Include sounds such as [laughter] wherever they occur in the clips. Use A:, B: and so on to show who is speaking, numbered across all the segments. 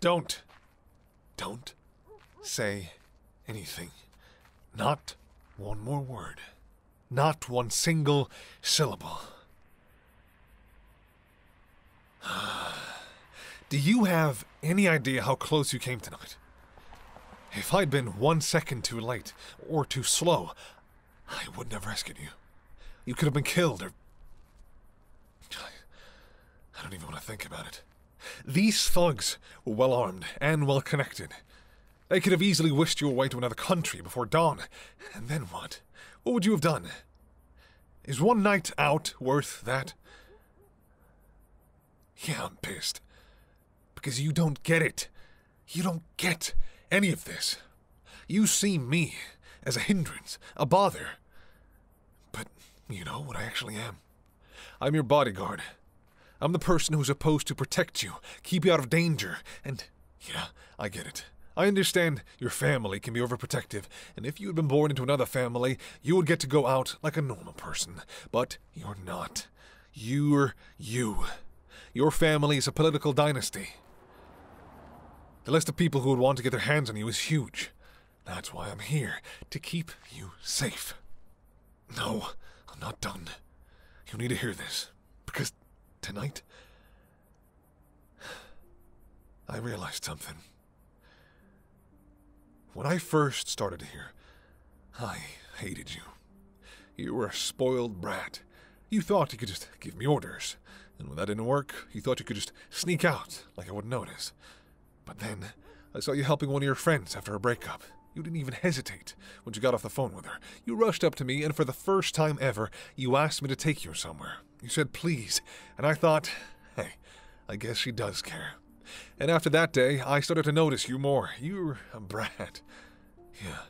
A: Don't. Don't say anything. Not one more word. Not one single syllable. [sighs] Do you have any idea how close you came tonight? If I'd been one second too late, or too slow, I wouldn't have rescued you. You could have been killed or... I, I don't even want to think about it. These thugs were well armed and well connected. They could have easily whisked you away to another country before dawn. And then what? What would you have done? Is one night out worth that? Yeah, I'm pissed. Because you don't get it. You don't get any of this. You see me as a hindrance, a bother. But you know what I actually am. I'm your bodyguard. I'm the person who's supposed to protect you, keep you out of danger, and yeah, I get it. I understand your family can be overprotective, and if you had been born into another family, you would get to go out like a normal person. But you're not. You're you. Your family is a political dynasty. The list of people who would want to get their hands on you is huge. That's why I'm here, to keep you safe. No, I'm not done. You need to hear this, because tonight, I realized something. When I first started here, I hated you. You were a spoiled brat. You thought you could just give me orders. And when that didn't work, you thought you could just sneak out like I wouldn't notice. But then, I saw you helping one of your friends after a breakup. You didn't even hesitate when you got off the phone with her. You rushed up to me, and for the first time ever, you asked me to take you somewhere. You said please, and I thought, hey, I guess she does care. And after that day, I started to notice you more. You're a brat. Yeah,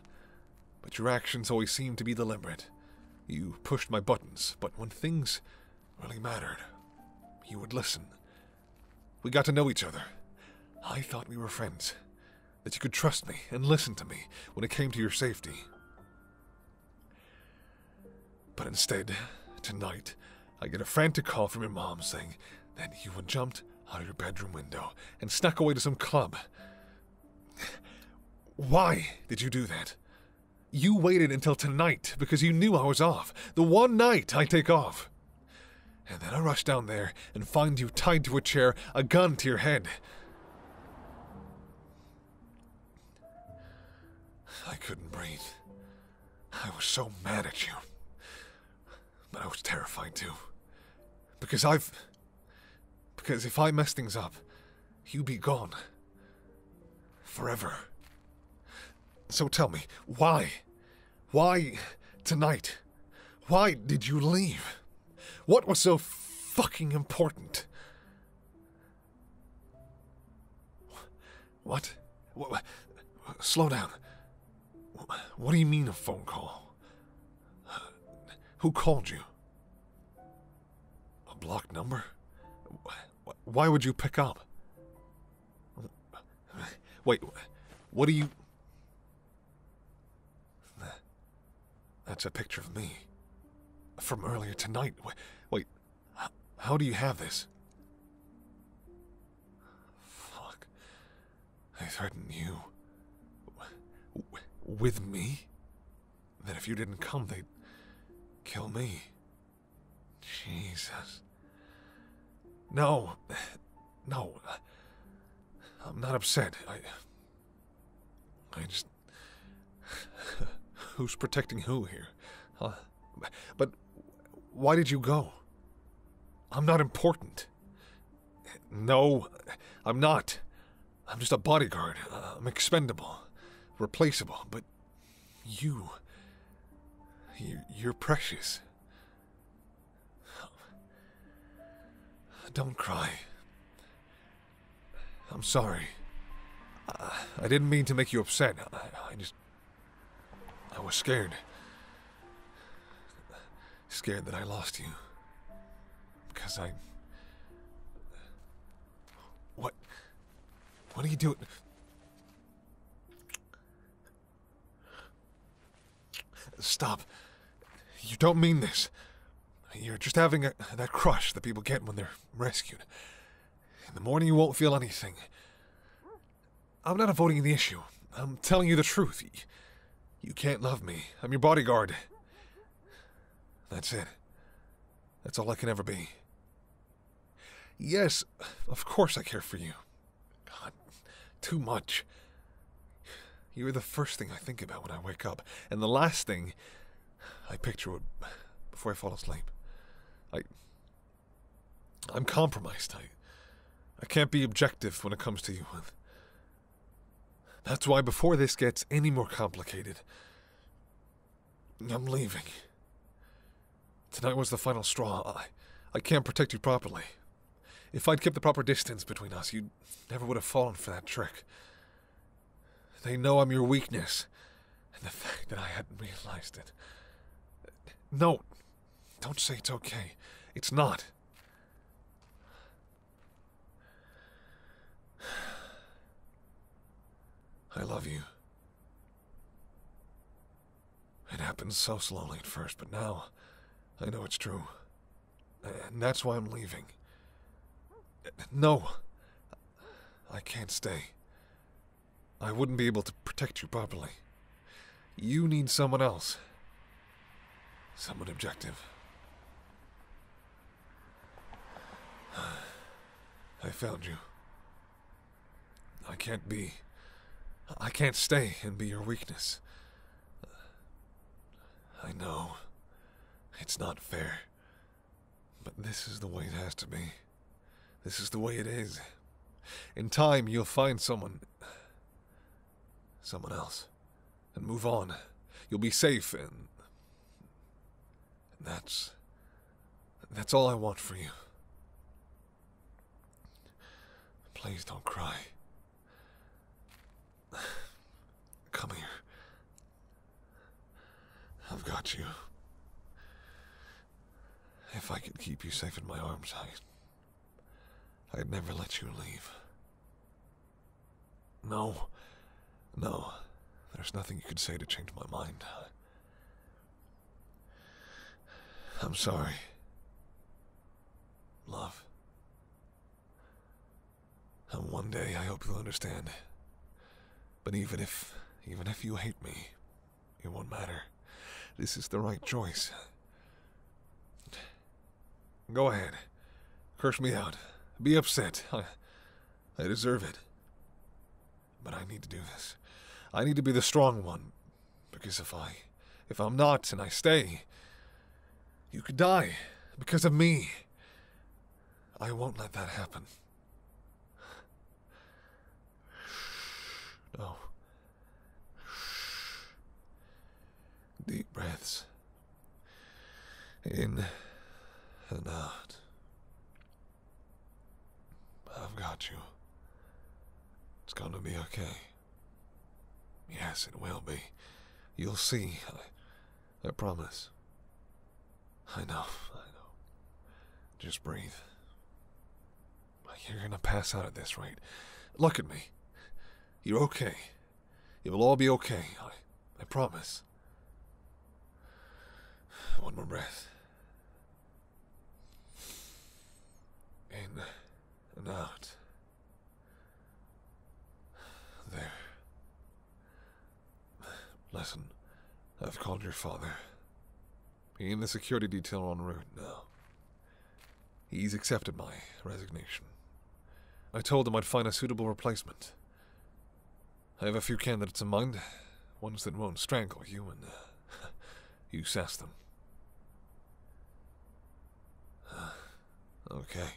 A: but your actions always seemed to be the limit. You pushed my buttons, but when things really mattered, you would listen. We got to know each other. I thought we were friends. That you could trust me and listen to me when it came to your safety. But instead, tonight, I get a frantic call from your mom saying that you had jumped out of your bedroom window and snuck away to some club. Why did you do that? You waited until tonight because you knew I was off. The one night I take off. And then I rush down there and find you tied to a chair, a gun to your head. I couldn't breathe. I was so mad at you. But I was terrified too. Because I've. Because if I mess things up, you be gone. Forever. So tell me, why? Why tonight? Why did you leave? What was so fucking important? What? what? Slow down. What do you mean a phone call? Who called you? A blocked number? Why would you pick up? Wait, what do you... That's a picture of me. From earlier tonight. Wait, how do you have this? Fuck. They threatened you. With me? that if you didn't come, they'd kill me. Jesus. No. No. I'm not upset. I. I just. [laughs] Who's protecting who here? Huh? But why did you go? I'm not important. No, I'm not. I'm just a bodyguard. Uh, I'm expendable, replaceable, but you. You're precious. Don't cry. I'm sorry. I didn't mean to make you upset. I just. I was scared. Scared that I lost you. Because I... What? What are you doing? Stop. You don't mean this. You're just having a, that crush that people get when they're rescued. In the morning, you won't feel anything. I'm not avoiding the issue. I'm telling you the truth. You can't love me. I'm your bodyguard. That's it. That's all I can ever be. Yes, of course I care for you. God, too much. You are the first thing I think about when I wake up, and the last thing I picture before I fall asleep. I. I'm compromised. I. I can't be objective when it comes to you. That's why before this gets any more complicated, I'm leaving. Tonight was the final straw. I, I can't protect you properly. If I'd kept the proper distance between us, you never would have fallen for that trick. They know I'm your weakness, and the fact that I hadn't realized it. No, don't say it's okay. It's not. [sighs] I love you. It happened so slowly at first, but now I know it's true. And that's why I'm leaving. No! I can't stay. I wouldn't be able to protect you properly. You need someone else. Someone objective. [sighs] I found you. I can't be. I can't stay and be your weakness. I know. It's not fair. But this is the way it has to be. This is the way it is. In time, you'll find someone. someone else and move on. You'll be safe, and, that's. That's all I want for you. Please don't cry. Come here. I've got you. If I could keep you safe in my arms, I... I'd never let you leave. No. No. There's nothing you could say to change my mind. I'm sorry. Love. And one day I hope you'll understand. But even if, even if you hate me, it won't matter. This is the right choice. Go ahead. Curse me out. Be upset. [laughs] I, I deserve it. But I need to do this. I need to be the strong one. Because if I... If I'm not and I stay... You could die. Because of me. I won't let that happen. [sighs] No. [sighs] Deep breaths in and out. I've got you. It's gonna be okay. Yes, it will be. You'll see. I, I promise. I know, I know. Just breathe. You're gonna pass out at this rate. Look at me. You're okay. It will all be okay. I, I promise. One more breath. In and out. There. Listen, I've called your father. He and the security detail are on route now. He's accepted my resignation. I told him I'd find a suitable replacement. I have a few candidates in mind. Ones that won't strangle you, and uh, [laughs] you sass them. okay.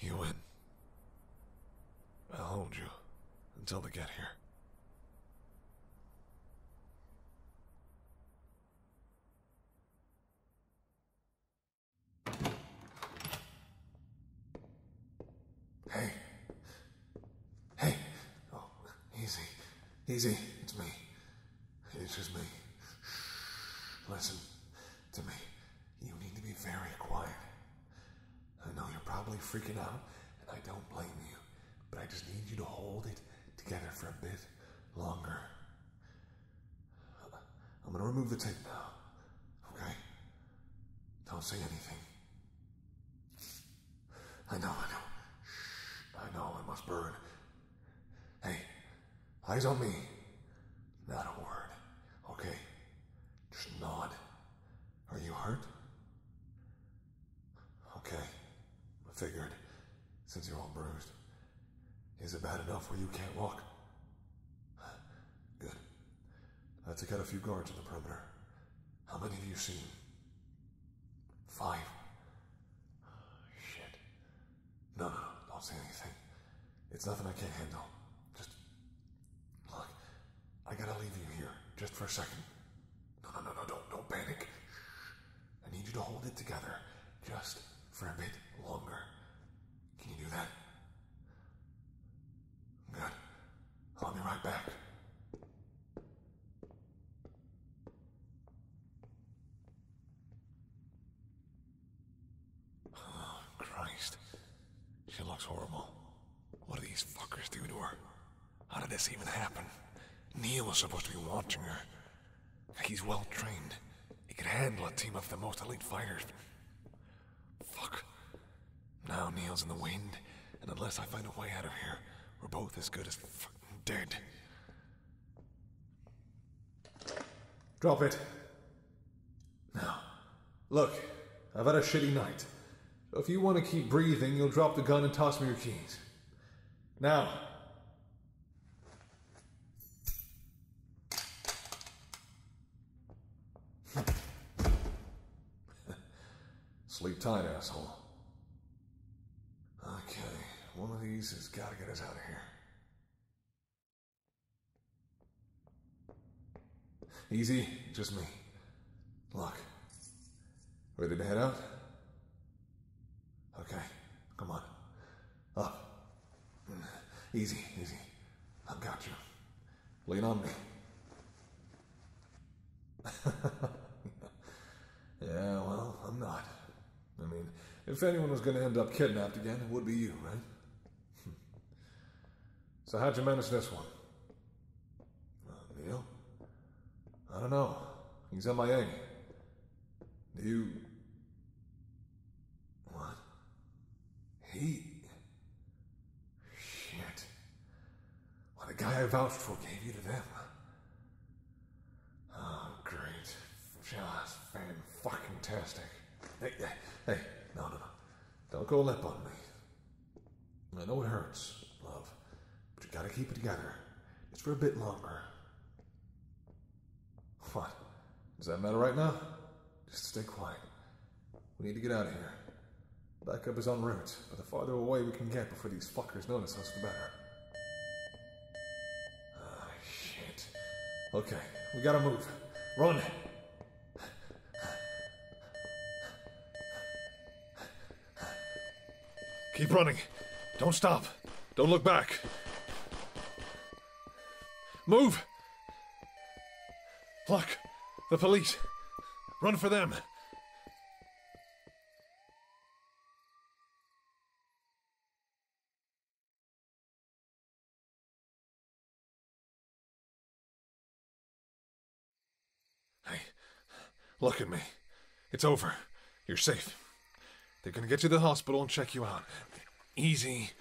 A: You win. I'll hold you until they get here. Hey. Hey. Oh, easy. Easy. It's me. It's just me. Listen to me. You need to be very quiet. I know you're probably freaking out, and I don't blame you, but I just need you to hold it together for a bit longer. I'm gonna remove the tape now. Okay? Don't say anything. I know, I know. Shh, I know, I must burn. Hey, eyes on me. Not a word. Okay? Just nod. Are you hurt? Okay. I figured, since you're all bruised. Is it bad enough where you can't walk? Good. I took out a few guards on the perimeter. How many have you seen? Five. shit. No, no, don't say anything. It's nothing I can't handle. Just. Look, I gotta leave you here, just for a second. No, no, no, no, don't, don't panic. I need you to hold it together, just for a bit longer. Can you do that? Good. I'll be right back. Oh, Christ. She looks horrible. What did these fuckers do to her? How did this even happen? Neil was supposed to be watching her. He's well trained. He could handle a team of the most elite fighters. Fuck. Now Neil's in the wind, and unless I find a way out of here, we're both as good as fucking dead. Drop it. Now, look, I've had a shitty night. So if you want to keep breathing, you'll drop the gun and toss me your keys. Now. [laughs] Sleep tight, asshole. Okay, one of these has got to get us out of here. Easy, just me. Lock. Ready to head out? Okay, come on. Up. Oh. Easy, easy. I've got you. Lean on me. [laughs] yeah, well, I'm not. I mean, if anyone was going to end up kidnapped again, it would be you, right? [laughs] so how'd you manage this one? Uh, Neil? I don't know. He's my Do you... What? He. Shit. What a guy I vouched for gave you to them. Oh, great. Just fan fucking tastic. Hey, hey, hey, no, no, no. Don't call lip on me. I know it hurts, love, but you gotta keep it together. It's for a bit longer. What? Does that matter right now? Just stay quiet. We need to get out of here. Backup is on route, but the farther away we can get before these fuckers notice us, the better. Oh, shit. Okay, we gotta move. Run! Keep running. Don't stop. Don't look back. Move! Look! The police! Run for them! Hey, look at me. It's over. You're safe. They're gonna get you to the hospital and check you out. Easy.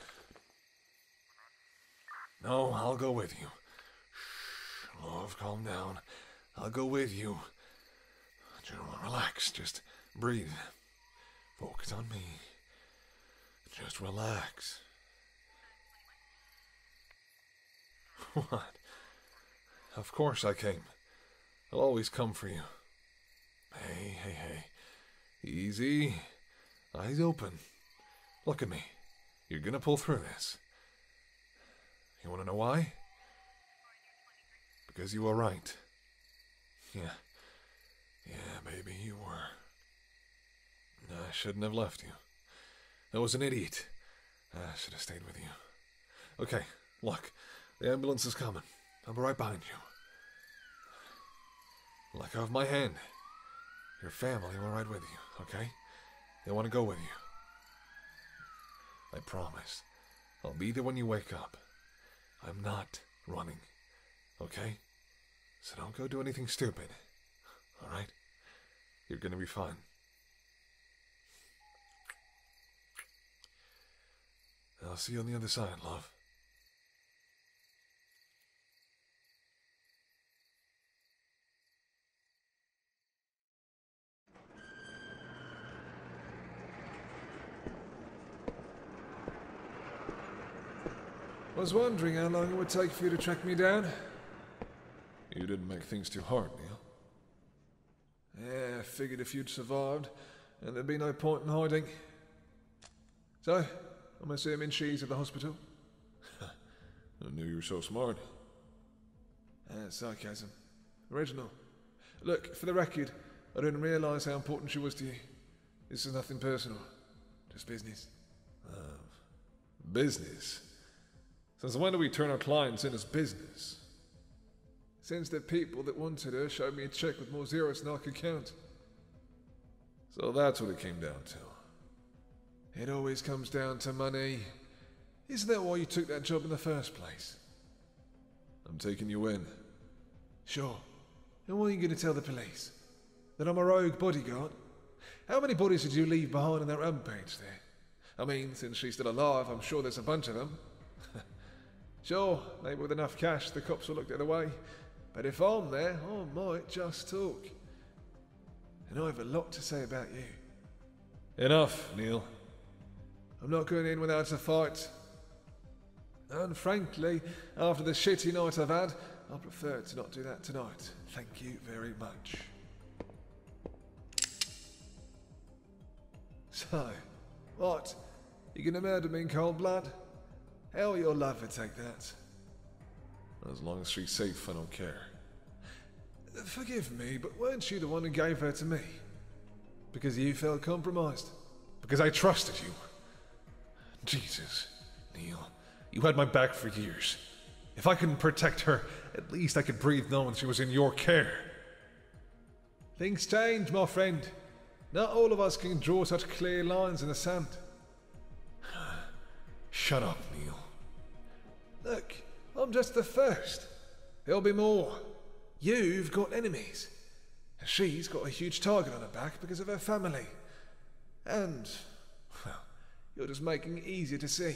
A: No, I'll go with you. Shh, love, calm down. I'll go with you. Gentlemen, relax. Just breathe. Focus on me. Just relax. [laughs] What? Of course I came. I'll always come for you. Hey, hey, hey. Easy. Eyes open. Look at me. You're gonna pull through this. You wanna know why? Because you were right. Yeah. Yeah, baby, you were. I shouldn't have left you. I was an idiot. I should have stayed with you. Okay, look. The ambulance is coming. I'll be right behind you. Let go of my hand. Your family will ride with you, okay? They want to go with you. I promise. I'll be there when you wake up. I'm not running, okay? So don't go do anything stupid, alright? You're gonna be fine. I'll see you on the other side, love was wondering how long it would take for you to track me down. You didn't make things too hard, Neil. Yeah, I figured if you'd survived, and there'd be no point in hiding. So, I'm assuming she's at the hospital? [laughs] I knew you were so smart. Uh, sarcasm. Original. Look, for the record, I didn't realise how important she was to you. This is nothing personal. Just business. Ah, business? Since when do we turn our clients in as business? Since the people that wanted her showed me a check with more zeros than I so that's what it came down to. It always comes down to money. Isn't that why you took that job in the first place? I'm taking you in. Sure. And what are you going to tell the police? That I'm a rogue bodyguard? How many bodies did you leave behind in that rampage there? I mean, since she's still alive, I'm sure there's a bunch of them. [laughs] sure, maybe with enough cash, the cops will look the other way, but if I'm there, I might just talk. And I have a lot to say about you. Enough, Neil. I'm not going in without a fight. And frankly, after the shitty night I've had, I prefer to not do that tonight. Thank you very much. So, what? You gonna murder me in cold blood? Hell, will your life take that? As long as she's safe, I don't care. Forgive me, but weren't you the one who gave her to me? Because you felt compromised? Because I trusted you? Jesus, Neil, you had my back for years. If I couldn't protect her, at least I could breathe knowing she was in your care. Things change, my friend. Not all of us can draw such clear lines in the sand. [sighs] Shut up, Neil. Look, I'm just the first. There'll be more. You've got enemies. She's got a huge target on her back because of her family. And, well, you're just making it easier to see.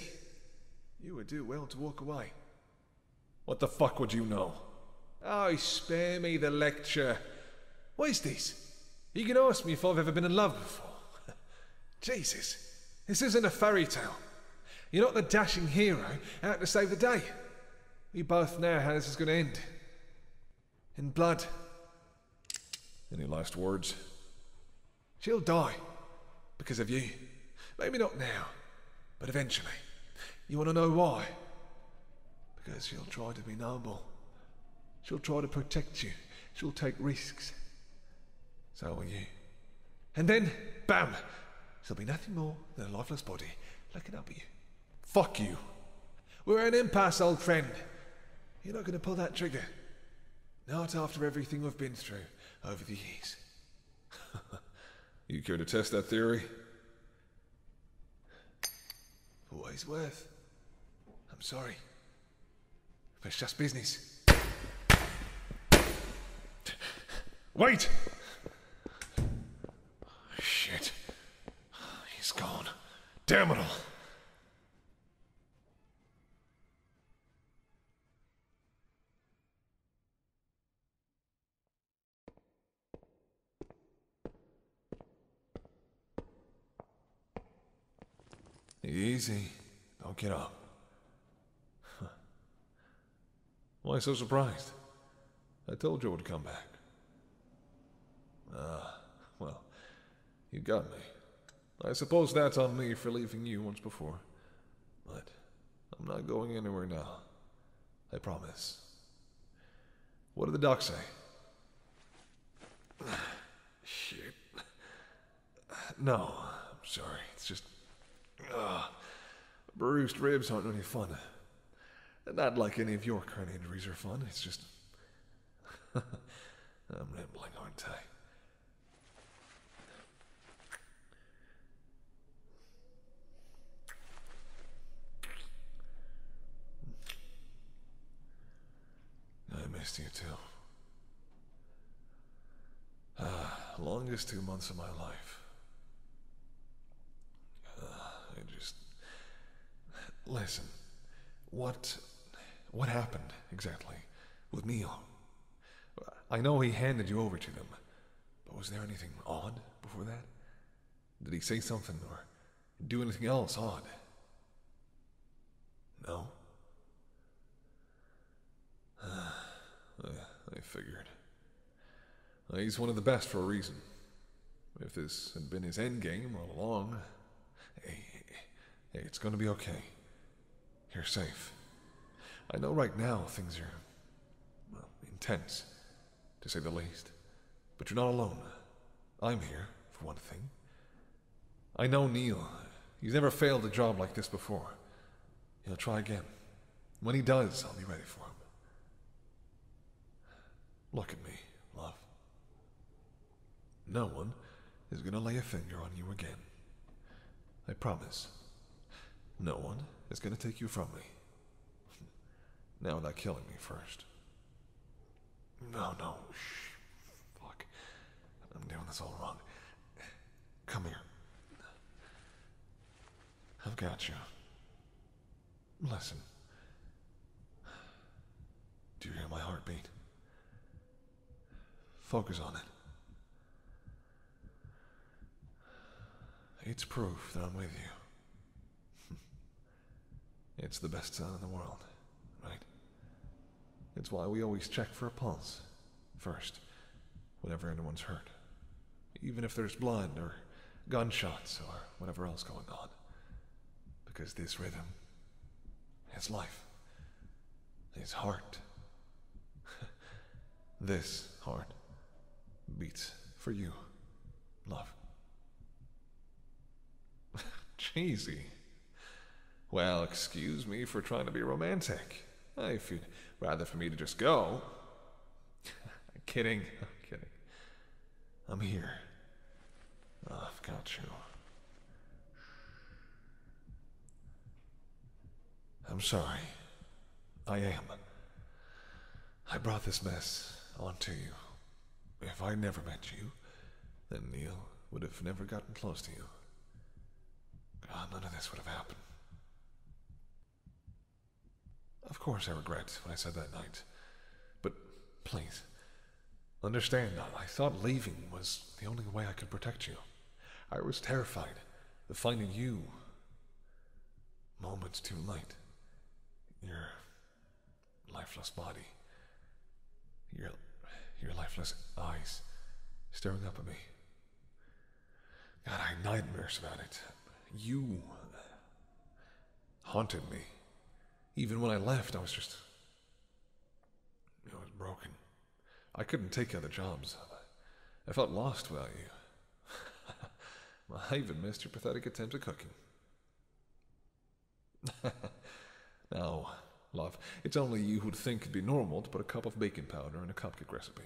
A: You would do well to walk away. What the fuck would you know? Oh, spare me the lecture. What is this? You can ask me if I've ever been in love before. [laughs] Jesus, this isn't a fairy tale. You're not the dashing hero out to save the day. We both know how this is going to end. In blood. Any last words? She'll die. Because of you. Maybe not now, but eventually. You want to know why? Because she'll try to be noble. She'll try to protect you. She'll take risks. So will you. And then, bam! She'll be nothing more than a lifeless body looking up at you. Fuck you. We're at an impasse, old friend. You're not going to pull that trigger. Not after everything we've been through over the years. [laughs] you care to test that theory? For what he's worth. I'm sorry. it's just business. Wait! Shit. He's gone. Damn it all. Easy. Don't get up. [laughs] Why so surprised? I told you I would come back. Ah, well, you got me. I suppose that's on me for leaving you once before. But I'm not going anywhere now. I promise. What did the doc say? Shit. No, I'm sorry. It's just. Uh, bruised ribs aren't any fun. Not like any of your current injuries are fun. It's just. [laughs] I'm rambling, aren't I? I missed you too. Ah, longest two months of my life. Ah, I just... Listen, what... What happened, exactly, with Neil? I know he handed you over to them, but was there anything odd before that? Did he say something, or do anything else odd. No? [sighs] I figured. Uh, he's one of the best for a reason. If this had been his end game all along, hey, eh, eh, it's gonna be okay. You're safe. I know right now things are intense, to say the least, but you're not alone. I'm here, for one thing, I know Neil. He's never failed a job like this before. He'll try again. When he does, I'll be ready for him. Look at me, love. No one is going to lay a finger on you again. I promise. No one is going to take you from me. [laughs] now without killing me first. No, no, shh. Fuck. I'm doing this all wrong. Come here. I've got you. Listen. Do you hear my heartbeat? Focus on it. It's proof that I'm with you. [laughs] It's the best sound in the world, right? It's why we always check for a pulse first, whenever anyone's hurt. Even if there's blood or gunshots or whatever else going on. Because this rhythm, his life, his heart, [laughs] this heart beats for you, love. [laughs] Cheesy. Well, excuse me for trying to be romantic. If you'd rather for me to just go. [laughs] [laughs] I'm kidding. i kidding. I'm here. I've got you. I'm sorry. I am. I brought this mess onto you. If I never met you, then Neil would have never gotten close to you. God, none of this would have happened. Of course I regret what I said that night. But please, understand, that I thought leaving was the only way I could protect you. I was terrified of finding you moments too late. Your lifeless body, your, your lifeless eyes staring up at me. God, I had nightmares about it. You haunted me. Even when I left, I was just. I was broken. I couldn't take other jobs. I felt lost without you. [laughs] I even missed your pathetic attempts at cooking. [laughs] now, love, it's only you who'd think it'd be normal to put a cup of baking powder in a cupcake recipe.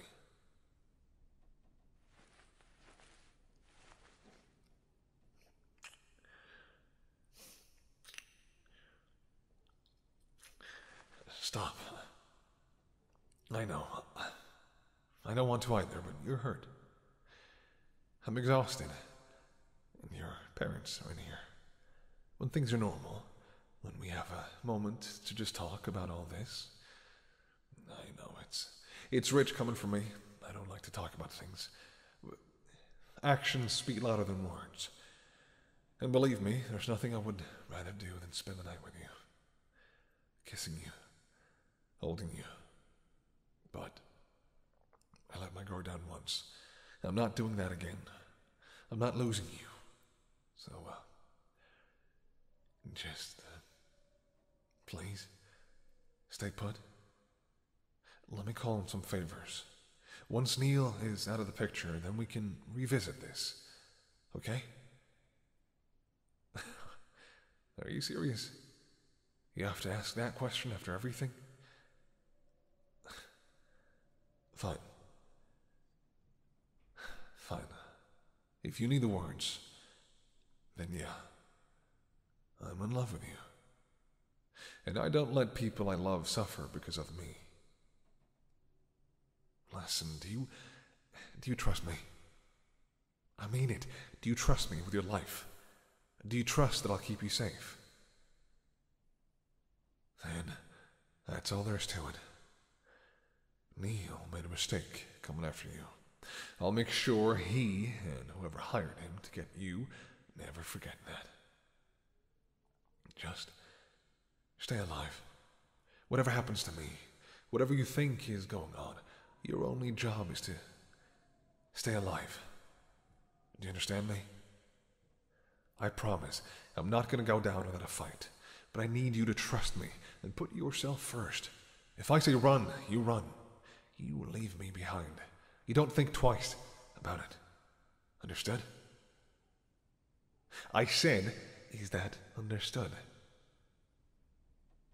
A: Stop. I know. I don't want to either, but you're hurt. I'm exhausted. And your parents are in here. When things are normal, when we have a moment to just talk about all this. I know it's it's rich coming from me. I don't like to talk about things. Actions speak louder than words. And believe me, there's nothing I would rather do than spend the night with you. Kissing you. Holding you. But I let my guard down once. I'm not doing that again. I'm not losing you. So, uh, just, uh, please, stay put. Let me call in some favors. Once Neil is out of the picture, then we can revisit this. Okay? [laughs] Are you serious? You have to ask that question after everything? Fine. Fine. If you need the words, then yeah. I'm in love with you. And I don't let people I love suffer because of me. Listen, do you do you trust me? I mean it. Do you trust me with your life? Do you trust that I'll keep you safe? Then, that's all there is to it. Neil made a mistake coming after you. I'll make sure he and whoever hired him to get you never forget that. Just stay alive. Whatever happens to me, whatever you think is going on, your only job is to stay alive. Do you understand me? I promise I'm not going to go down without a fight, but I need you to trust me and put yourself first. If I say run, you run. You leave me behind. You don't think twice about it. Understood? I said, is that understood?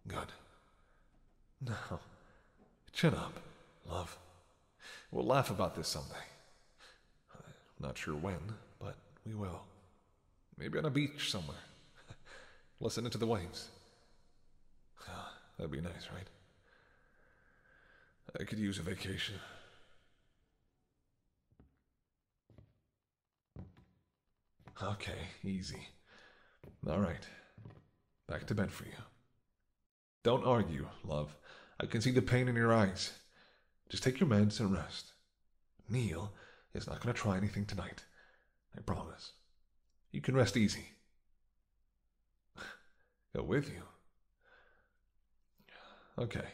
A: Good. Now, chin up, love. We'll laugh about this someday. not sure when, but we will. Maybe on a beach somewhere. [laughs] Listening to the waves. [sighs] That'd be nice, right? I could use a vacation. Okay, easy. All right. Back to bed for you. Don't argue, love. I can see the pain in your eyes. Just take your meds and rest. Neil is not going to try anything tonight. I promise. You can rest easy. [sighs] Go with you. Okay.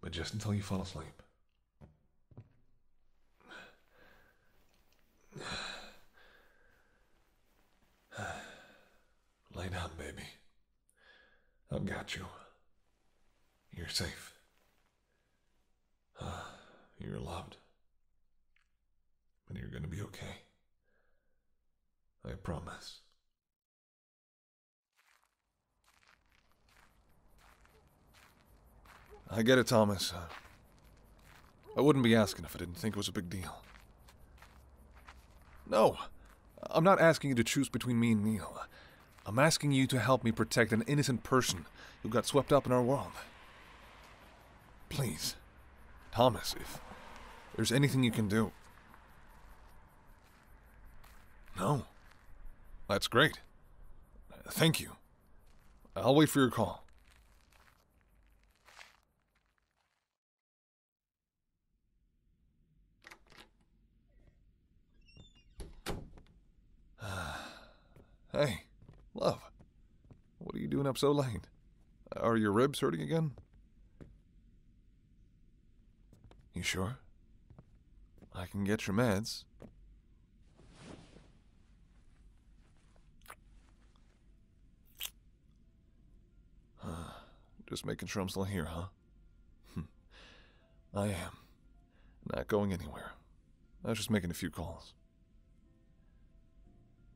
A: But just until you fall asleep. [sighs] [sighs] Lay down, baby. I've got you. You're safe. Ah, you're loved. And you're gonna be okay. I promise. I get it, Thomas. I wouldn't be asking if I didn't think it was a big deal. No, I'm not asking you to choose between me and Neil. I'm asking you to help me protect an innocent person who got swept up in our world. Please, Thomas, if there's anything you can do. No. That's great. Thank you. I'll wait for your call. [sighs] hey, love. What are you doing up so late? Are your ribs hurting again? You sure? I can get your meds. [sighs] Just making sure I'm still here, huh? Hmm. I am. Not going anywhere. I was just making a few calls.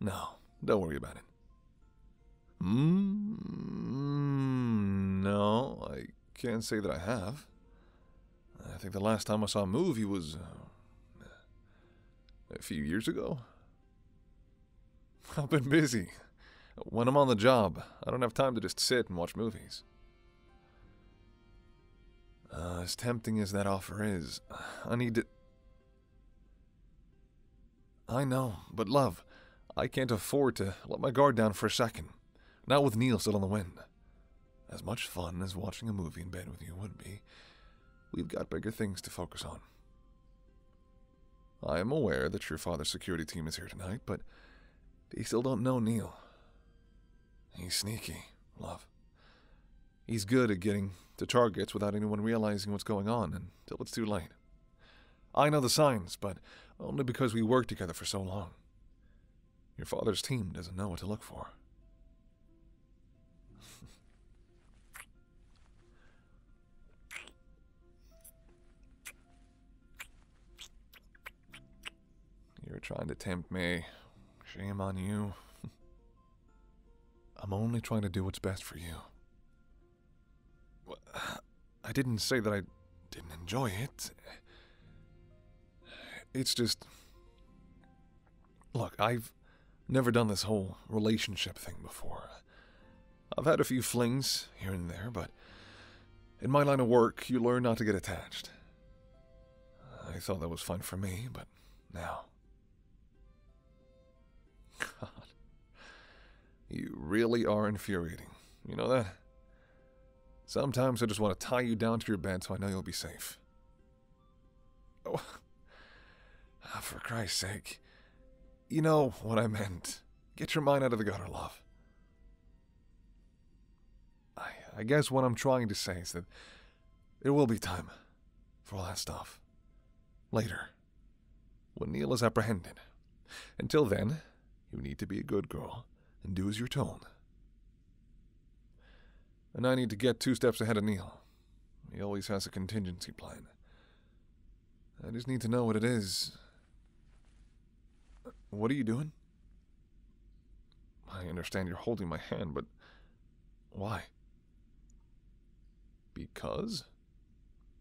A: No, don't worry about it. Hmm, no, I can't say that I have. I think the last time I saw a movie was uh, a few years ago. [laughs] I've been busy. When I'm on the job, I don't have time to just sit and watch movies. Uh, as tempting as that offer is, I need to... I know, but love, I can't afford to let my guard down for a second. Not with Neil still on the wind. As much fun as watching a movie in bed with you would be, we've got bigger things to focus on. I am aware that your father's security team is here tonight, but they still don't know Neil. He's sneaky, love. He's good at getting to targets without anyone realizing what's going on until it's too late. I know the signs, but only because we worked together for so long. Your father's team doesn't know what to look for. You are trying to tempt me. Shame on you. [laughs] I'm only trying to do what's best for you. I didn't say that I didn't enjoy it. It's just. Look, I've never done this whole relationship thing before. I've had a few flings here and there, but in my line of work, you learn not to get attached. I thought that was fun for me, but now. God. You really are infuriating. You know that? Sometimes I just want to tie you down to your bed so I know you'll be safe. oh [laughs] for Christ's sake. You know what I meant. Get your mind out of the gutter, love. I, guess what I'm trying to say is that there will be time for all that stuff. Later. When Neil is apprehended. Until then, you need to be a good girl and do as you're told. And I need to get two steps ahead of Neil. He always has a contingency plan. I just need to know what it is. What are you doing? I understand you're holding my hand, but why? Because?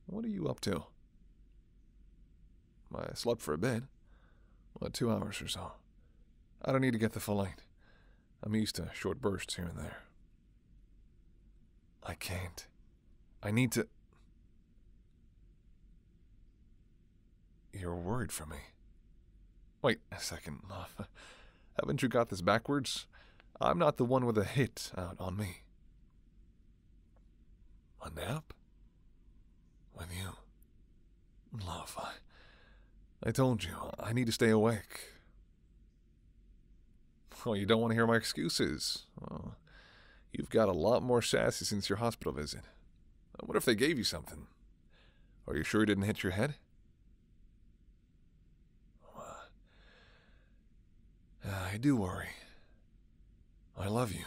A: What are you up to? I slept for a bit. Well, two hours or so. I don't need to get the full length. I'm used to short bursts here and there. I can't. I need to. You're worried for me. Wait a second, love. Haven't you got this backwards? I'm not the one with a hit out on me. A nap? With you. Love, I told you, I need to stay awake. Oh, you don't want to hear my excuses. Oh, you've got a lot more sassy since your hospital visit. What if they gave you something? Are you sure you didn't hit your head? [sighs] I do worry. I love you.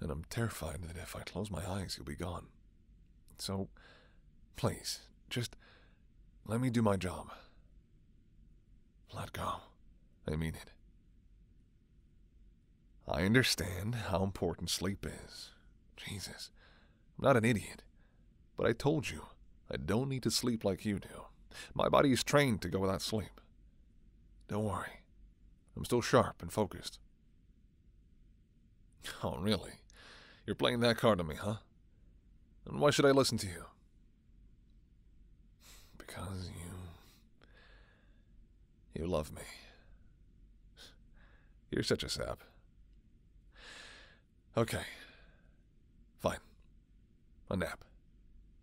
A: And I'm terrified that if I close my eyes, you'll be gone. So, please, just let me do my job. Let go. I mean it. I understand how important sleep is. Jesus, I'm not an idiot. But I told you, I don't need to sleep like you do. My body's trained to go without sleep. Don't worry. I'm still sharp and focused. Oh, really? You're playing that card on me, huh? And why should I listen to you? Because you. You love me. You're such a sap. Okay. Fine. A nap.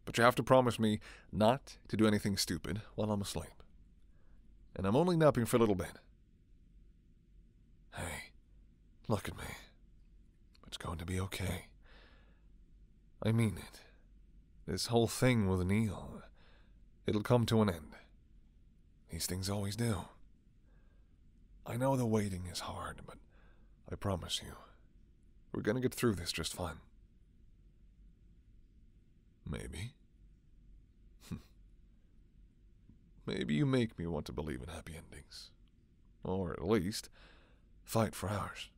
A: But you have to promise me not to do anything stupid while I'm asleep. And I'm only napping for a little bit. Hey, look at me. It's going to be okay. I mean it. This whole thing with Neil, it'll come to an end. These things always do. I know the waiting is hard, but I promise you, we're gonna get through this just fine. Maybe. [laughs] Maybe you make me want to believe in happy endings. Or at least, fight for ours.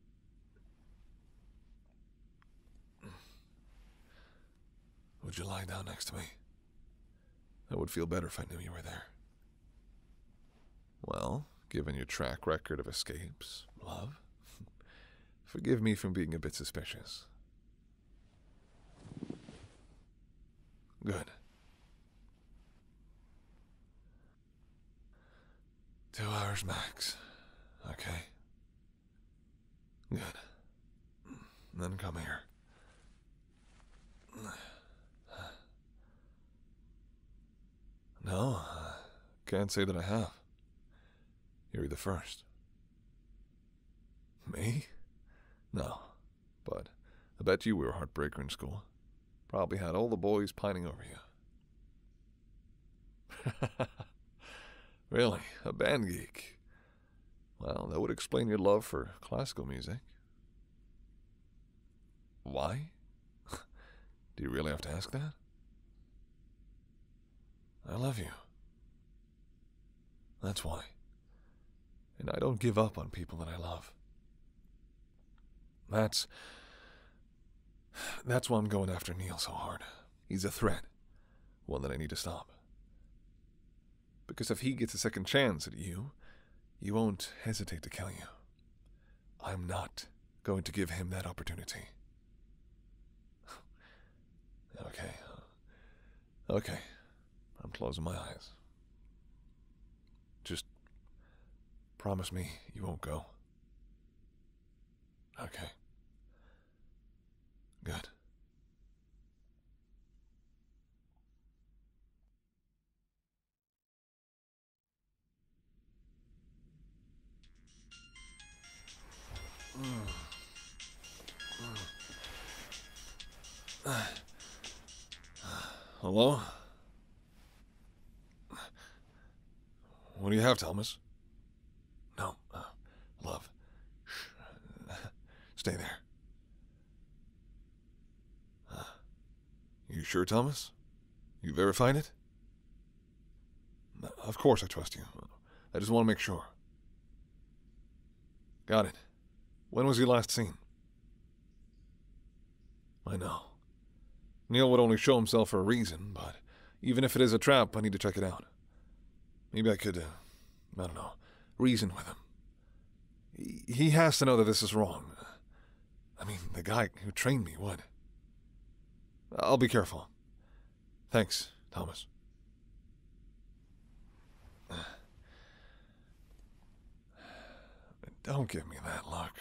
A: Would you lie down next to me? I would feel better if I knew you were there. Well, given your track record of escapes, love, [laughs] forgive me for being a bit suspicious. Good. Two hours max. Okay. Good. Then come here. No, can't say that I have. You're the first. Me? No, but I bet you were a heartbreaker in school. Probably had all the boys pining over you. [laughs] really, a band geek. Well, that would explain your love for classical music. Why? [laughs] Do you really have to ask that? I love you. That's why. And I don't give up on people that I love. That's. That's why I'm going after Neil so hard. He's a threat, one that I need to stop. Because if he gets a second chance at you, he won't hesitate to kill you. I'm not going to give him that opportunity. [sighs] okay. Okay. I'm closing my eyes. Just promise me you won't go.
B: Okay. Good.
A: [sighs] [sighs] [sighs] hello? What do you have, Thomas? No, uh, love. Shh. [laughs] Stay there. Uh, you sure, Thomas? You verified it? Uh, of course I trust you. I just want to make sure. Got it. When was he last seen? I know. Neil would only show himself for a reason, but even if it is a trap, I need to check it out. Maybe I could, uh, I don't know, reason with him. He, he has to know that this is wrong. I mean, the guy who trained me would. I'll be careful. Thanks, Thomas. [sighs] Don't give me that look.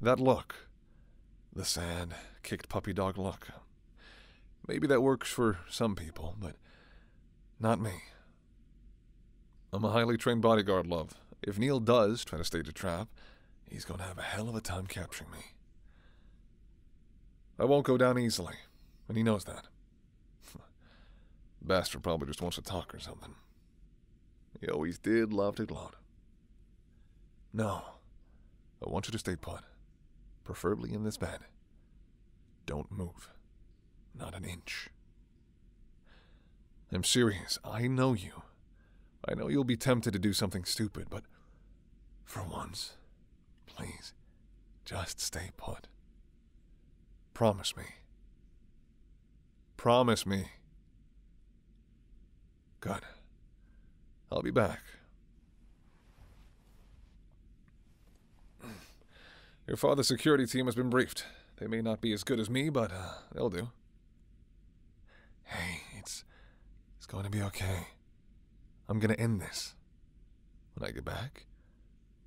A: That luck. The sad, kicked puppy dog luck. Maybe that works for some people, but not me. I'm a highly trained bodyguard, love. If Neil does try to stage a trap, he's gonna have a hell of a time capturing me. I won't go down easily, and he knows that. [laughs] Bastard probably just wants to talk or something. He always did love to gloat. No, I want you to stay put, preferably in this bed. Don't move, not an inch. I'm serious, I know you. I know you'll be tempted to do something stupid, but for once, please, just stay put. Promise me. Promise me. Good. I'll be back. Your father's security team has been briefed. They may not be as good as me, but uh, they'll do. Hey, it's it's going to be okay. I'm going to end this. When I get back,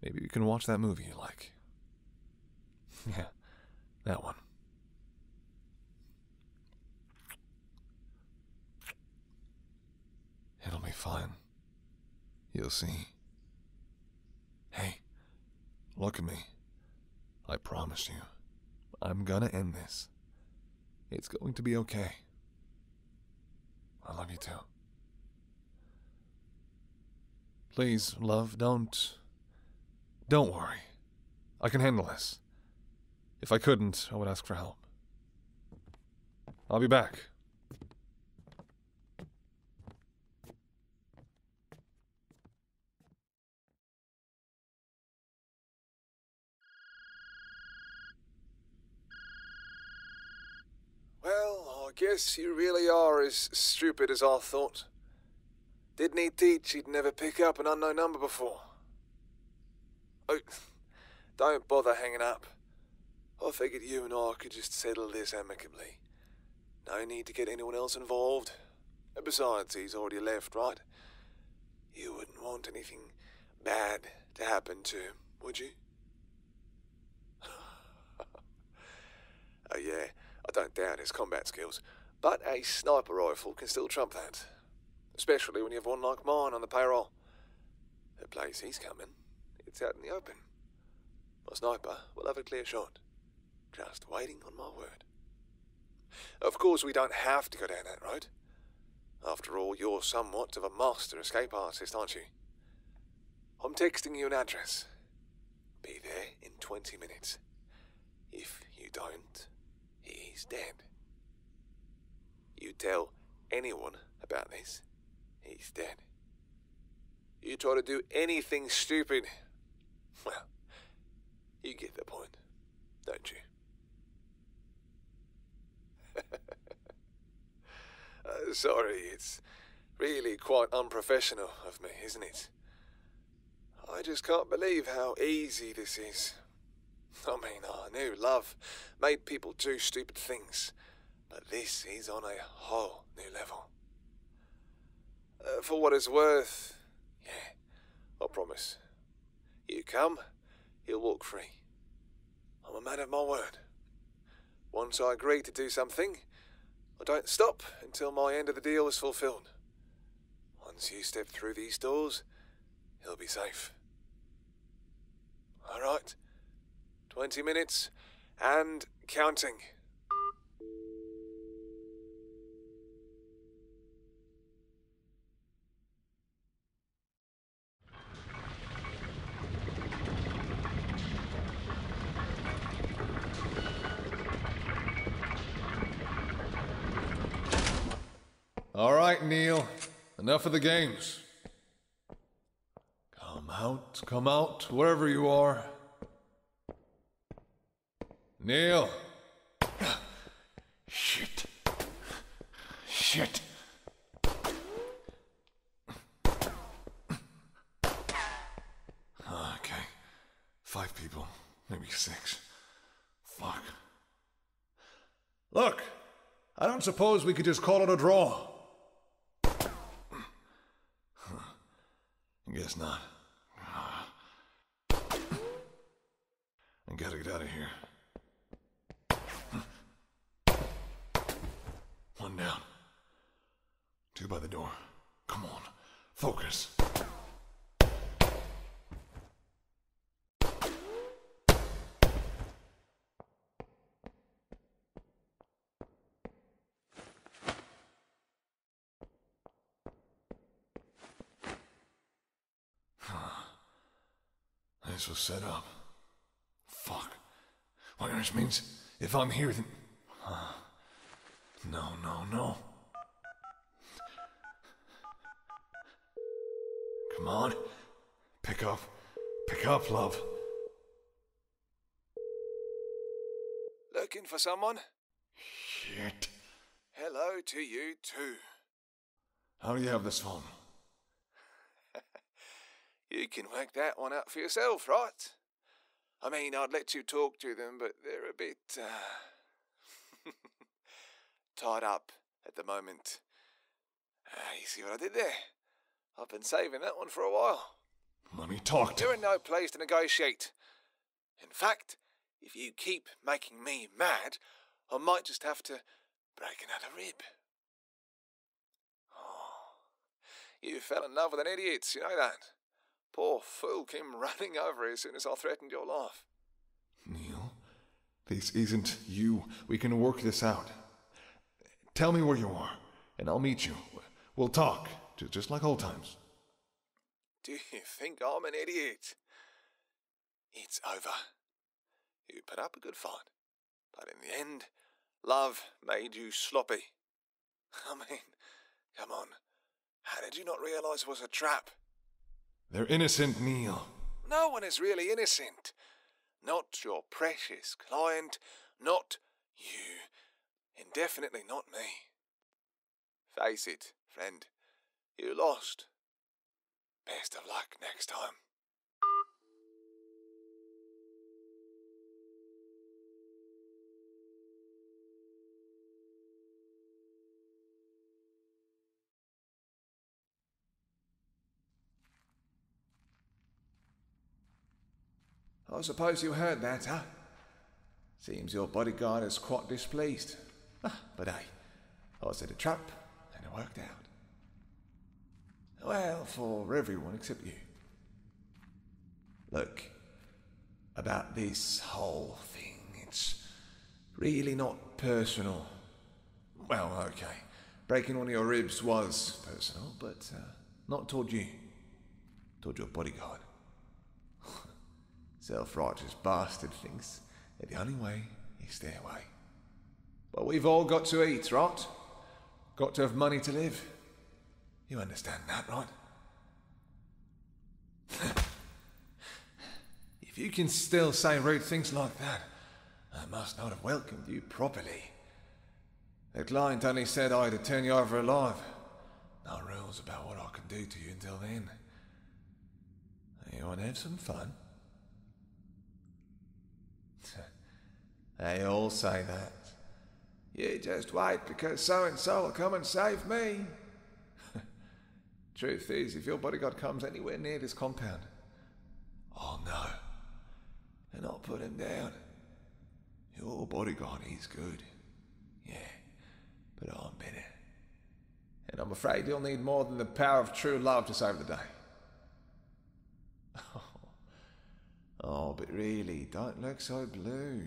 A: maybe we can watch that movie you like. [laughs] Yeah, that one. It'll be fine. You'll see. Hey, look at me. I promise you, I'm gonna end this. It's going to be okay. I love you too. Please, love, don't don't worry. I can handle this. If I couldn't, I would ask for help. I'll be back. Well, I guess you really are as stupid as I thought. Didn't he teach he'd never pick up an unknown number before? Oh, [laughs] don't bother hanging up. I figured you and I could just settle this amicably. No need to get anyone else involved. besides, he's already left, right? You wouldn't want anything bad to happen to him, would you? [laughs] oh, yeah, I don't doubt his combat skills. But a sniper rifle can still trump that. Especially when you have one like mine on the payroll. The place he's coming, it's out in the open. My sniper will have a clear shot. Just waiting on my word. Of course, we don't have to go down that road. After all, you're somewhat of a master escape artist, aren't you? I'm texting you an address. Be there in 20 minutes. If you don't, he's dead. You tell anyone about this, he's dead. You try to do anything stupid, well, you get the point, don't you? [laughs] Uh, sorry, it's really quite unprofessional of me, isn't it? I just can't believe how easy this is. I mean, our new love made people do stupid things, but this is on a whole new level. Uh, for what it's worth, yeah, I promise. You come, he will walk free. I'm a man of my word. Once I agree to do something, I don't stop until my end of the deal is fulfilled. Once you step through these doors, he'll be safe. All right. 20 minutes and counting. All right, Neil. Enough of the games. Come out, come out, wherever you are. Neil! Shit. Shit. Okay. Five people, maybe six. Fuck. Look, I don't suppose we could just call it a draw. I guess not. I gotta get out of here. One down. Two by the door. Come on, focus. This was set up. Fuck. Which means if I'm here, then. no, no, no. Come on. Pick up. Pick up, love. Looking for someone? Shit. Hello to you, too. How do you have this phone? [laughs] you can work that one out for yourself, right? I mean, I'd let you talk to them, but they're a bit. Uh, tied up at the moment. Ah, you see what I did there? I've been saving that one for a while. Let me talk to You're in no place to negotiate. In fact, if you keep making me mad, I might just have to break another rib. Oh, you fell in love with an idiot, you know that? Poor fool came running over as soon as I threatened your life. Neil, this isn't you. We can work this out. Tell me where you are, and I'll meet you. We'll talk, just like old times. Do you think I'm an idiot? It's over. You put up a good fight, but in the end, love made you sloppy [laughs] I mean, come on. How did you not realize it was a trap? They're innocent, Neil. No one is really innocent. Not your precious client, not you, and definitely not me. Face it, friend. You lost. Best of luck next time. I suppose you heard that, huh? Seems your bodyguard is quite displeased. Ah, but hey, I set a trap, and it worked out. Well, for everyone except you. Look, about this whole thing. It's really not personal. Well, okay. Breaking one of your ribs was personal, but uh, not toward you. Toward your bodyguard. [laughs] Self righteous bastard thinks that the only way is their way. But we've all got to eat, right? Got to have money to live. You understand that, right? [laughs] if you can still say rude things like that, I must not have welcomed you properly. The client only said I would turn you over alive. No rules about what I can do to you until then. You want to have some fun? [laughs] they all say that. You just wait because so and so will come and save me. [laughs] Truth is, if your bodyguard comes anywhere near this compound, I'll know. And I'll put him down. Your bodyguard is good. Yeah, but I'm better. And I'm afraid you'll need more than the power of true love to save the day. Oh, [laughs] oh but really, don't look so blue.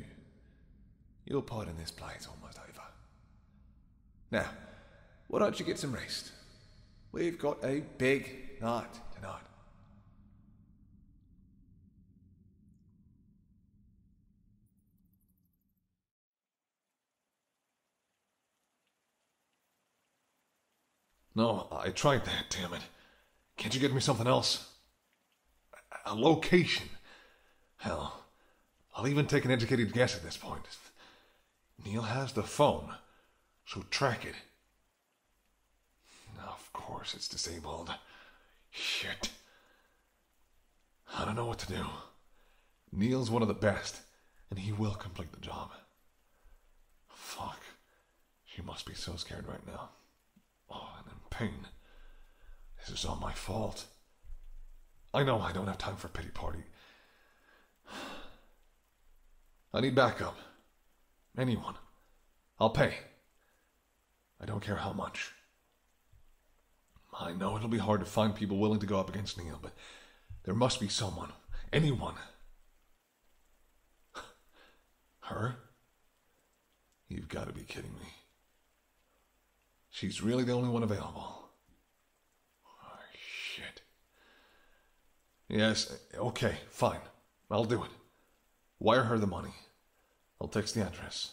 A: Your part in this play is almost over. Now, why don't you get some rest? We've got a big night tonight. No, I tried that, damn it. Can't you get me something else? a location. Hell, I'll even take an educated guess at this point. Neil has the phone, so track it. Of course, it's disabled. Shit. I don't know what to do. Neil's one of the best, and he will complete the job. Fuck. She must be so scared right now. Oh, and in pain. This is all my fault. I know I don't have time for pity party. I need backup. Anyone. I'll pay. I don't care how much. I know it'll be hard to find people willing to go up against Neil, but there must be someone. Anyone. Her? You've got to be kidding me. She's really the only one available. Oh, shit. Yes, okay, fine. I'll do it. Wire her the money. I'll text the address.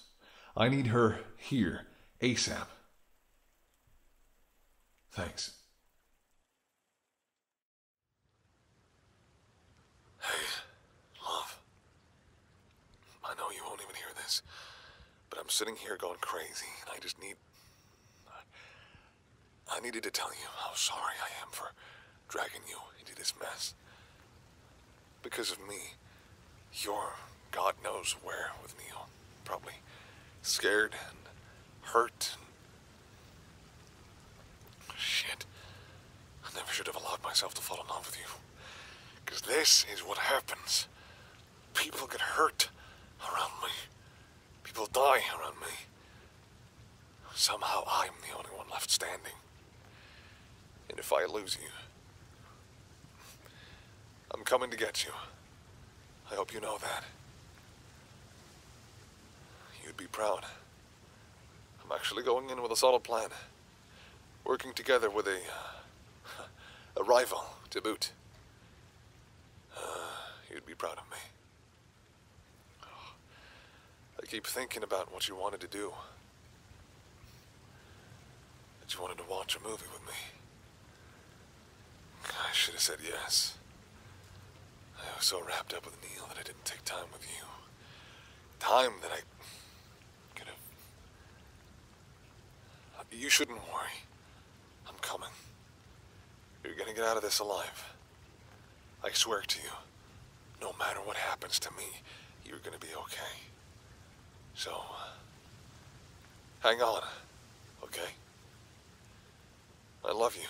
A: I need her here, ASAP. Thanks. Hey, love. I know you won't even hear this, but I'm sitting here going crazy, and I just need. I needed to tell you how sorry I am for dragging you into this mess. Because of me, you're God knows where with Neil. Probably scared and hurt Shit. I never should have allowed myself to fall in love with you. Because this is what happens People get hurt around me. People die around me. Somehow I'm the only one left standing. And if I lose you, I'm coming to get you. I hope you know that. You'd be proud. I'm actually going in with a solid plan. Working together with a... a rival, to boot. Uh, you'd be proud of me. I keep thinking about what you wanted to do. That you wanted to watch a movie with me. I should have said yes. I was so wrapped up with Neil that I didn't take time with you. Time that I you shouldn't worry. I'm coming. You're gonna get out of this alive. I swear to you, no matter what happens to me, you're gonna be okay. So, hang on, okay? I love you.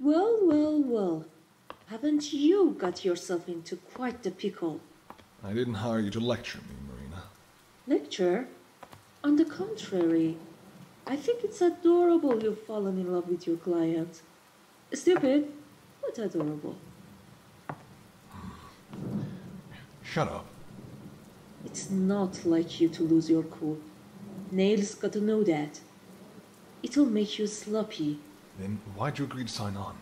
B: Well, well, well. Haven't you got yourself into quite the pickle?
A: I didn't hire you to lecture me, Marina.
B: Lecture? On the contrary, I think it's adorable you've fallen in love with your client. Stupid, What adorable. Shut up. It's not like you to lose your cool. Nail's got to know that. It'll make you sloppy.
A: Then why'd you agree to sign on?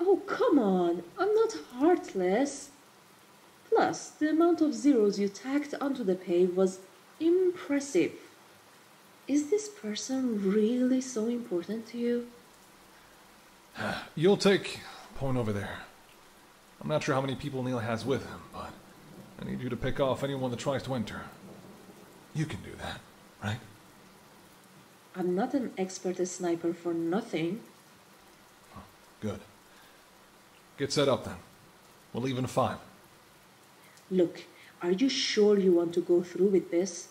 B: Oh, come on. I'm not heartless. Plus, the amount of zeros you tacked onto the pay was impressive. Is this person really so important to you?
A: [sighs] You'll take point over there. I'm not sure how many people Neil has with him, but I need you to pick off anyone that tries to enter. You can do that, right?
B: I'm not an expert sniper for nothing.
A: good. Get set up then. We'll leave in five.
B: Look, are you sure you want to go through with this?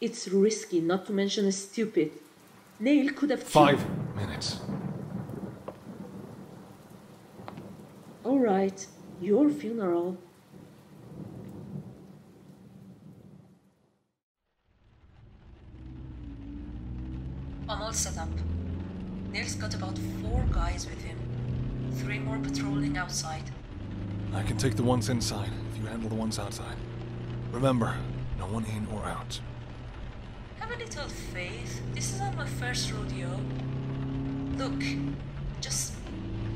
B: It's risky, not to mention stupid. Nail could have Five minutes. All right, your funeral. I'm all set up. Nail's got about four guys with him. Three more patrolling outside.
A: I can take the ones inside, if you handle the ones outside. Remember, no one in or out.
B: Have a little faith. This isn't my first rodeo. Look, just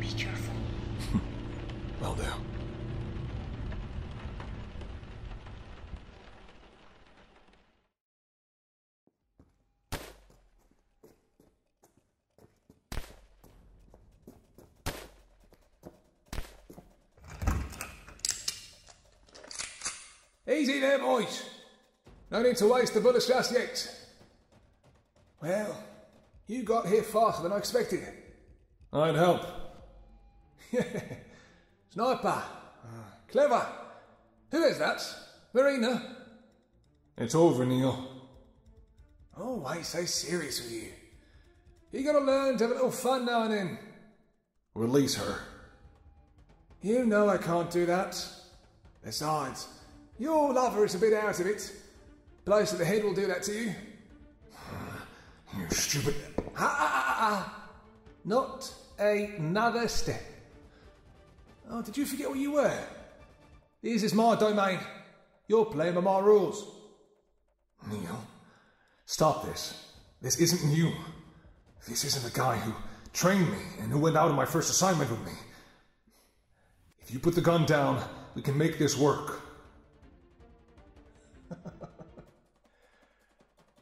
B: be careful. [laughs] well do.
A: Easy there, boys. No need to waste the bullets just yet. Well, you got here faster than I expected. I'd help. It's [laughs] Sniper. Ah, clever. Who is that? Marina? It's over, Neil. Always oh, so serious with you. You gotta learn to have a little fun now and then. Release her. You know I can't do that. Besides, your lover is a bit out of it. Blows to the head will do that to you. [sighs] You stupid. Ah, ah, ah, ah, Not another step. Oh, did you forget what you were? This is my domain. You're playing by my rules. Neil, stop this. This isn't you. This isn't the guy who trained me and who went out on my first assignment with me. If you put the gun down, we can make this work. [laughs]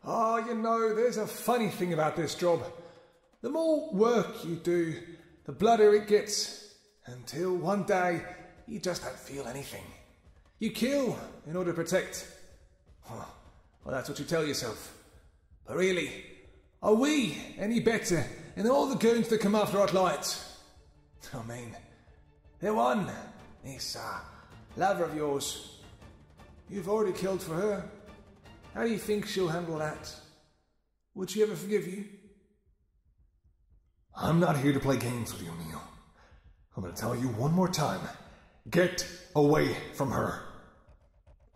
A: Ah, you know, there's a funny thing about this job. The more work you do, the bloodier it gets, until one day you just don't feel anything. You kill in order to protect. Huh. Well, that's what you tell yourself. But really, are we any better than all the goons that come after our lights? I mean, the one, this uh, lover of yours, you've already killed for her. How do you think she'll handle that? Would she ever forgive you? I'm not here to play games with you, Neil. I'm gonna tell you one more time. Get away from her.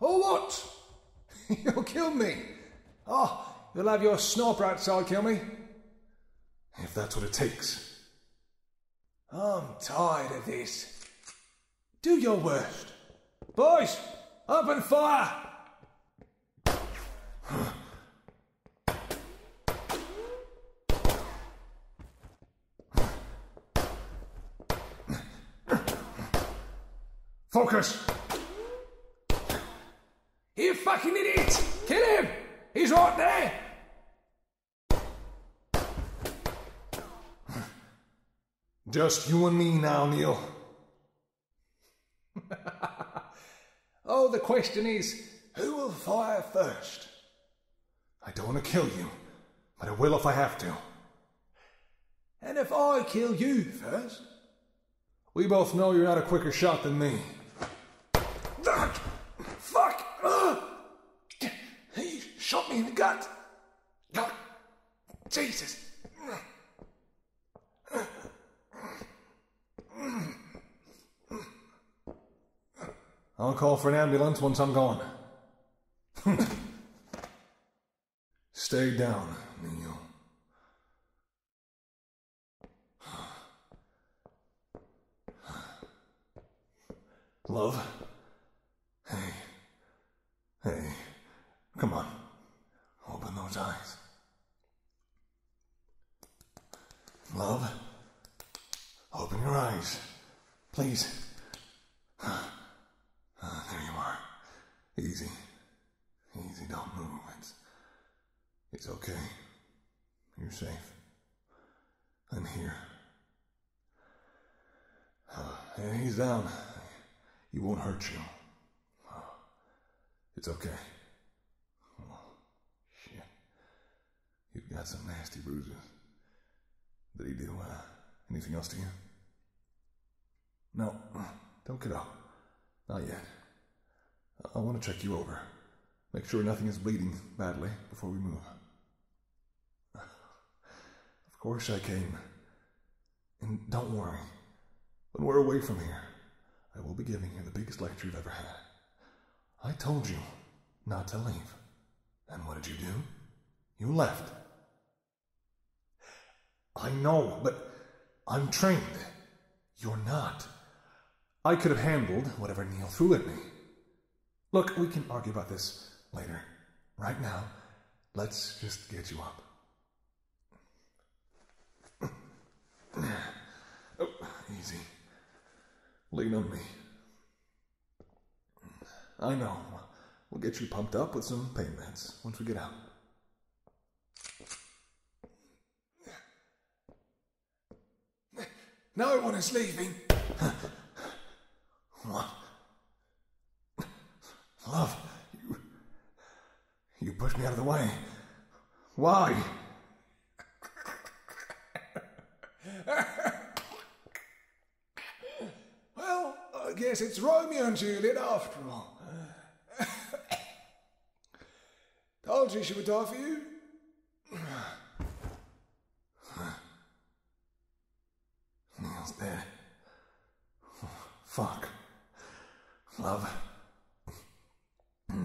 A: Oh, what? You'll kill me. Oh, you'll have your snorper outside kill me. If that's what it takes. I'm tired of this. Do your worst. Boys, open fire! Focus! You fucking idiot! Kill him! He's right there! Just you and me now, Neil. [laughs] oh, the question is who will fire first? I don't want to kill you, but I will if I have to. And if I kill you first? We both know you're not a quicker shot than me. Fuck! Fuck! Ugh. He shot me in the gut! God. Jesus! I'll call for an ambulance once I'm gone. [laughs] Stay down, Nino. Love? Hey. Hey. Come on. Open those eyes. Love, open your eyes. Please. [sighs] Ah, there you are. Easy. Easy, don't move. It's, it's okay. You're safe. I'm here. Uh, he's down. He won't hurt you. it's okay. Oh, shit. You've got some nasty bruises. Did he do anything else to you? No, don't get out. Not yet. I want to check you over. Make sure nothing is bleeding badly before we move. Of course I came. And don't worry. When we're away from here, I will be giving you the biggest lecture you've ever had. I told you not to leave. And what did you do? You left. I know, but I'm trained. You're not. I could have handled whatever Neil threw at me. Look, we can argue about this later. Right now, let's just get you up. [clears throat] easy. Lean on me. I know. We'll get you pumped up with some pain meds once we get out. No one is leaving. What? Love, you. You pushed me out of the way. Why? well, I guess it's Romeo and Juliet after all. Told you she would die for you. Neil's dead. Fuck. Love.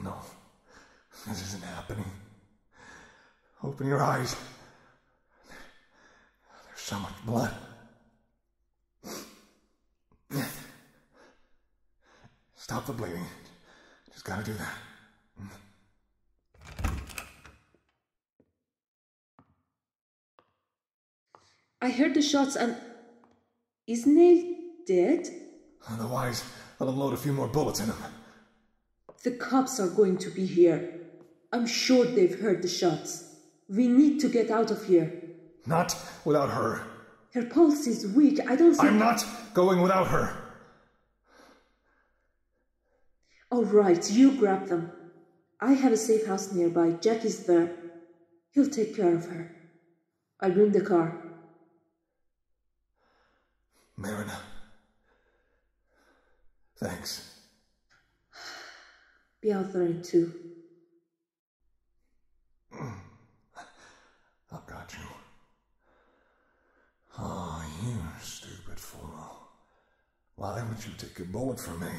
A: No. This isn't happening. Open your eyes. There's so much blood. Stop the bleeding. Just gotta do that.
B: I heard the shots and. Is Neil dead?
A: Otherwise, I'll unload a few more bullets in him.
B: The cops are going to be here. I'm sure they've heard the shots. We need to get out of here.
A: Not without her.
B: Her pulse is weak. I don't think. I'm not
A: going without her.
B: All right, you grab them. I have a safe house nearby. Jackie's there. He'll take care of her. I'll bring the car. Marina, Thanks. Be authorized right too. [clears throat]
A: I've got you. Ah, oh, you stupid fool. Why would you take a bullet for me?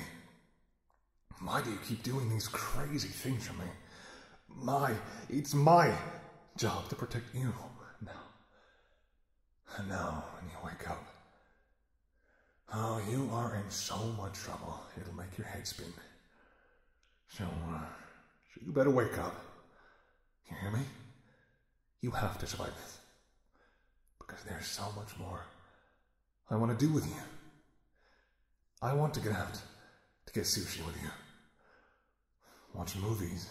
A: Why do you keep doing these crazy things for me? My, it's my job to protect you. Now, and now, when you wake up, oh, you are in so much trouble, it'll make your head spin. So, uh, so you better wake up. You hear me? You have to survive this. Because there's so much more I want to do with you. I want to get out to get sushi with you watch movies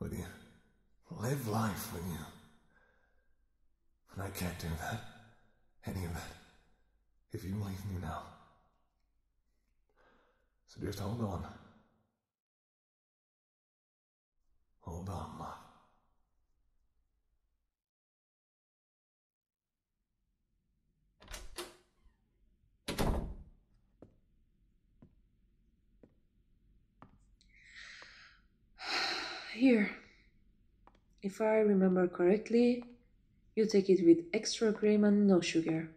A: with you, live life with you. But I can't do that, any of that, if you leave me now.
B: So just hold on. Hold on, [sighs] Here, if I remember correctly, you take it with extra cream and no sugar.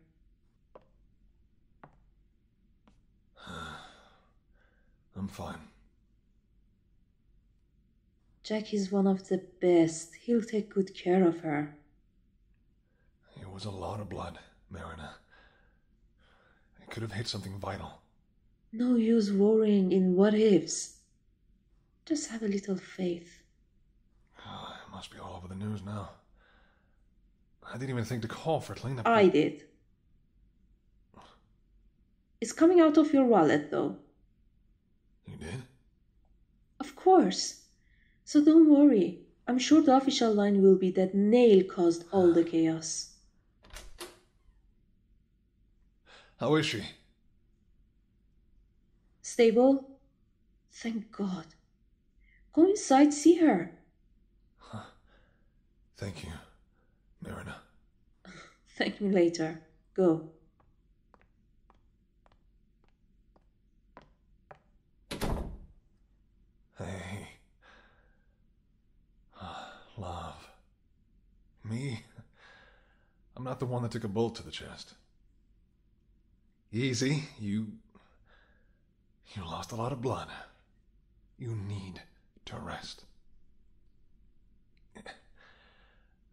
A: [sighs] I'm fine.
B: Jack is one of the best. He'll take good care of her.
A: It was a lot of blood, Marina. It could have hit something vital.
B: No use worrying in what ifs. Just have a little faith.
A: Oh, it must be all over the news now. I didn't even think to call for a cleanup. I did.
B: It's coming out of your wallet, though. You did? Of course. So don't worry. I'm sure the official line will be that Nail caused all the chaos. How is she? Stable? Thank God. Go inside, see her. Thank you, Marina. [laughs] Thank me later. Go.
A: Hey, [sighs] Love. Me? I'm not the one that took a bullet to the chest. Easy, you. You lost a lot of blood. You need to rest.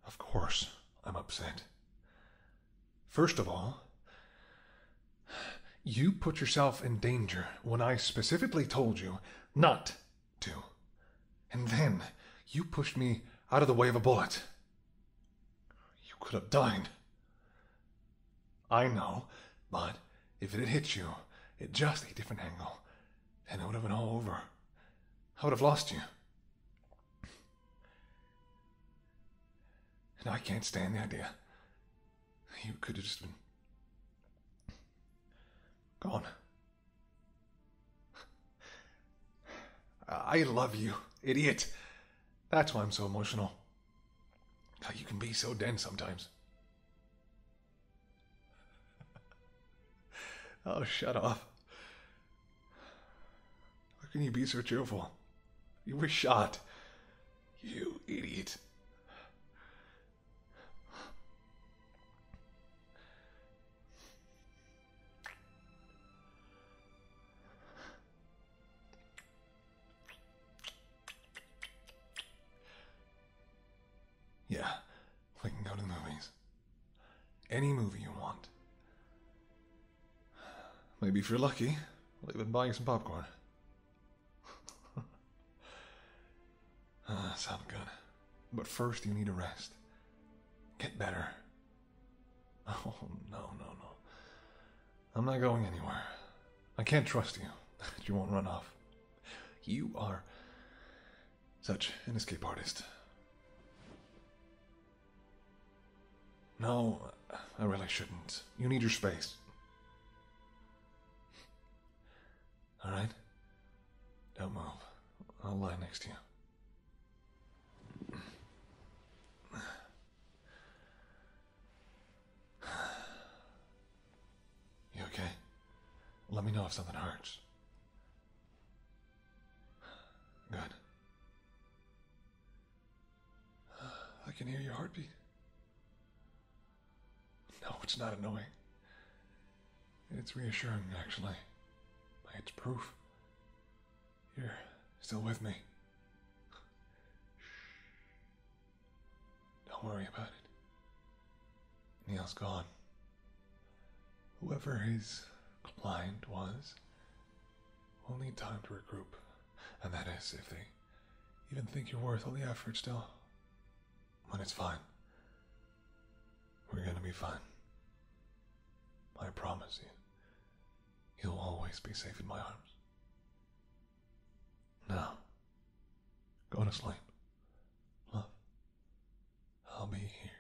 A: Of course, I'm upset. First of all, you put yourself in danger when I specifically told you not to. And then you pushed me out of the way of a bullet. You could have died. I know, but if it had hit you at just a different angle, then it would have been all over. I would have lost you. And I can't stand the idea you could have just been gone. I love you, idiot. That's why I'm so emotional. you can be so dense sometimes. [laughs] oh, shut up. How can you be so cheerful? You were shot. You idiot. Yeah, we can go to the movies. Any movie you want. Maybe if you're lucky, we'll even buy you some popcorn ah, sounds good. But first, you need a rest. Get better. [laughs] Oh, no, no, no. I'm not going anywhere. I can't trust you. [laughs] you won't run off. You are such an escape artist. No, I really shouldn't. You need your space. Alright? Don't move. I'll lie next to you. You okay? Let me know if something hurts. Good. I can hear your heartbeat. No, it's not annoying. It's reassuring, actually. by It's proof. You're still with me. Don't worry about it. Neil's gone. Whoever his client was will need time to regroup, and that is if they even think you're worth all the effort still. But it's fine. We're gonna be fine. I promise you. You'll always be safe in my arms. Now, go to sleep. Love, I'll be here.